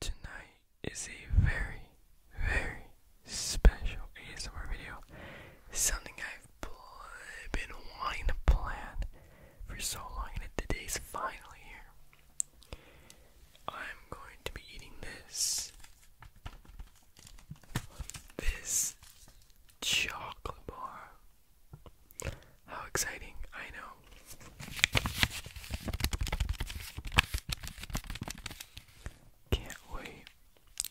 Tonight is a very, very special ASMR video. Something I've been wanting to plan for so long, and today's finally here. I'm going to be eating this. This chocolate bar. How exciting, I know. Can't wait.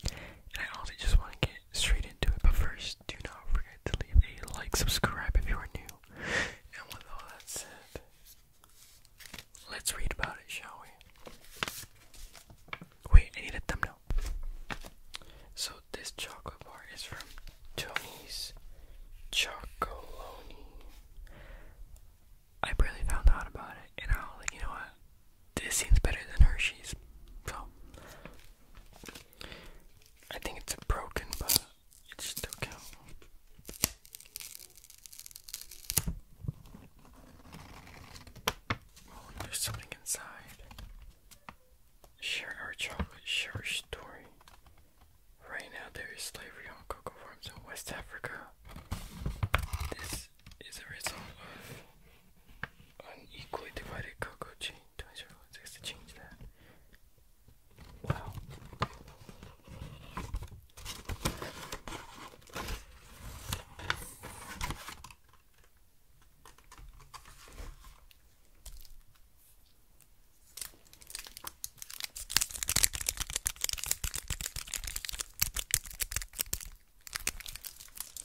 I honestly just want to get straight into it, but first, do not forget to leave a like, subscribe if you are new. And with all that said, let's read about it, shall we? Wait, I need a thumbnail. So, this chocolate bar is from Tony's Chocolonely. I barely found out about it, and I was like, you know what? This seems better than Hershey's. So, I think it's a broken, but it's still counts. Oh, there's something inside. Share our chocolate, share our story. Right now, there is slavery on cocoa farms in West Africa. This is a result of unequally divided cocoa chain. To change that. Wow.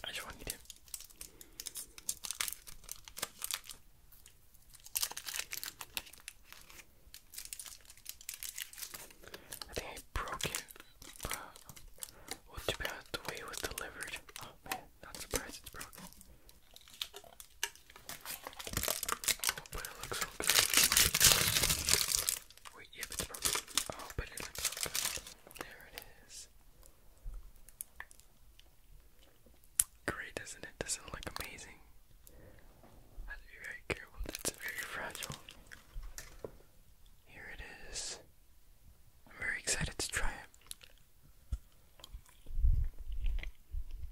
I just want you to I think I broke it, but well, the way it was delivered. Oh man, not surprised it's broken but it looks so good. Wait, yep, it's broken. Oh, but it looks There it is. Great, doesn't it? Doesn't it look amazing? have to be very careful. It's very fragile. Here it is. I'm very excited to try it.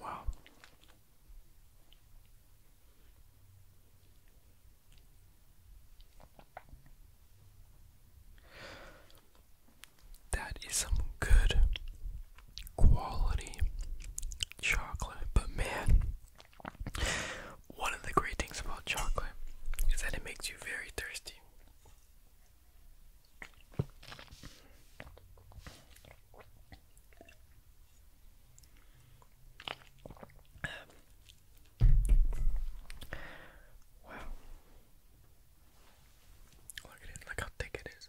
Wow. That is some good quality chocolate, but man, one of the great things about chocolate is that it makes you very thirsty. Wow. Look at it, look how thick it is.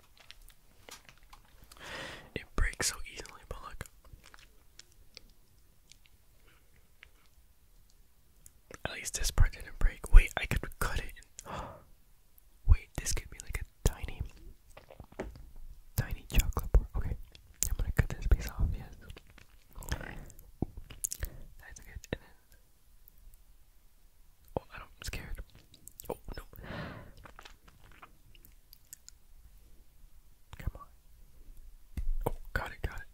It breaks so easily, but look. At least this part didn't break. Wait, I could cut it. Wait, this could be like a tiny, tiny chocolate bar. Okay, I'm gonna cut this piece off. Yes. That's good. oh, I'm scared. Oh no. Come on. Oh, got it, got it.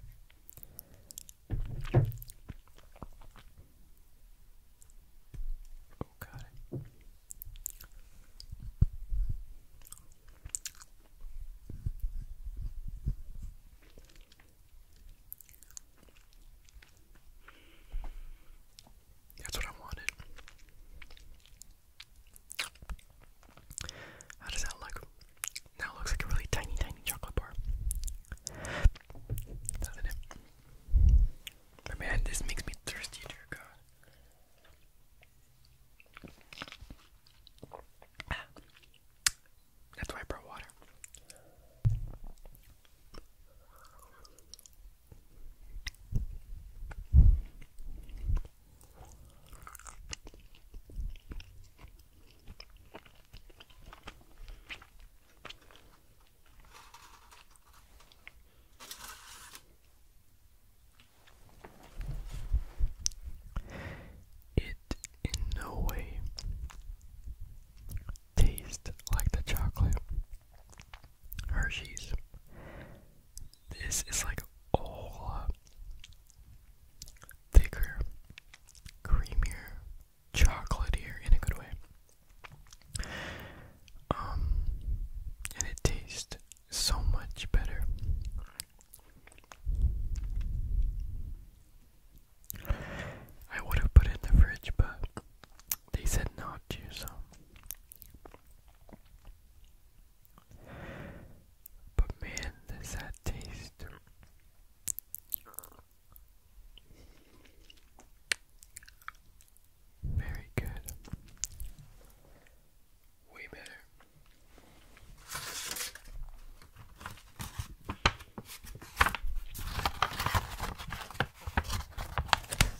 Oh, got it. That's what I wanted. How does that look? Now looks like a really tiny, tiny chocolate bar. man, this makes me thirsty, dear God. That's why I brought water. It in no way tastes like the chocolate. Hershey's. This is like all thicker, creamier, chocolatier in a good way. Um, and it tastes so much better. I would have put it in the fridge, but they said not to, so but man, does that taste. Very good. Way better.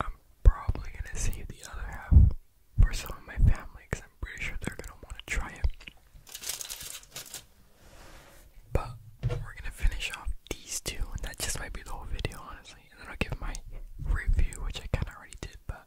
I'm probably gonna save the other half for some of my family because I'm pretty sure they're gonna want to try it. But we're gonna finish off these two, and that just might be the whole video, honestly. And then I'll give my review, which I kind of already did, but.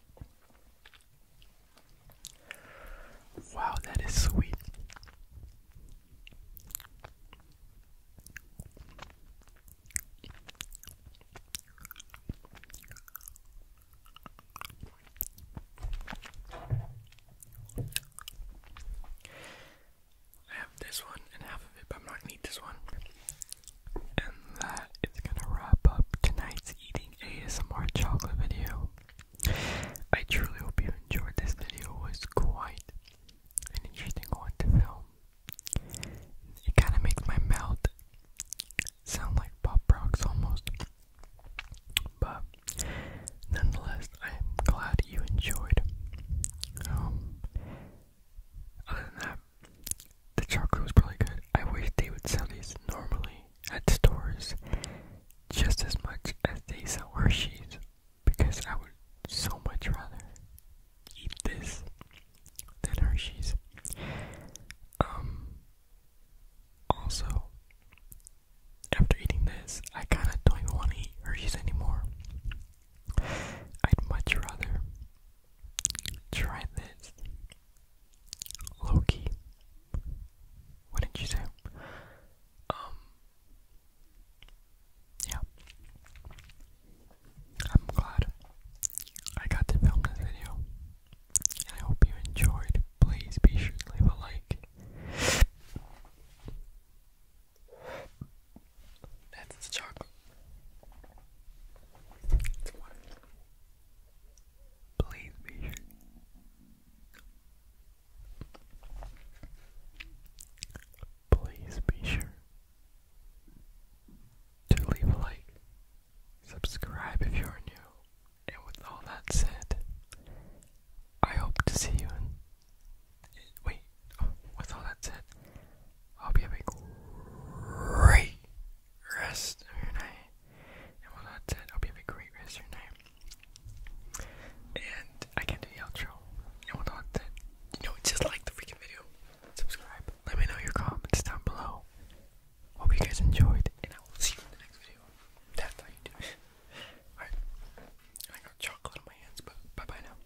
Wow, that is sweet. I have this one and half of it, but I'm not gonna eat this one. And that is gonna wrap up tonight's eating ASMR chocolate video. I truly hope you enjoyed this video. It was quite an interesting one to film. It kind of makes my mouth sound like pop rocks almost. But nonetheless, I am glad you enjoyed. Um, other than that, the chocolate was really good. I wish they would sell these normally at stores just as much as they sell Hershey's because I would so much rather eat this than Hershey's. Um, also, after eating this, I kinda don't want to eat Hershey's anymore. I'd much rather Try this. Loki. What did you say? Um. Yeah. I'm glad I got to film this video. I hope you enjoyed. Please be sure to leave a like. That's the chocolate. Please be sure. Please be sure to leave a like, subscribe if you are new, and with all that said, I hope to see you Wait, oh, with all that said, I hope you a great rest of your night. And well, that's it. hope you have a great rest of your night. And I can't do the outro. And well, that's it. You know, just like the freaking video, subscribe, let me know your comments down below. Hope you guys enjoyed, and I will see you in the next video. That's how you do Alright. I got chocolate on my hands, but bye bye now.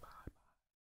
Bye.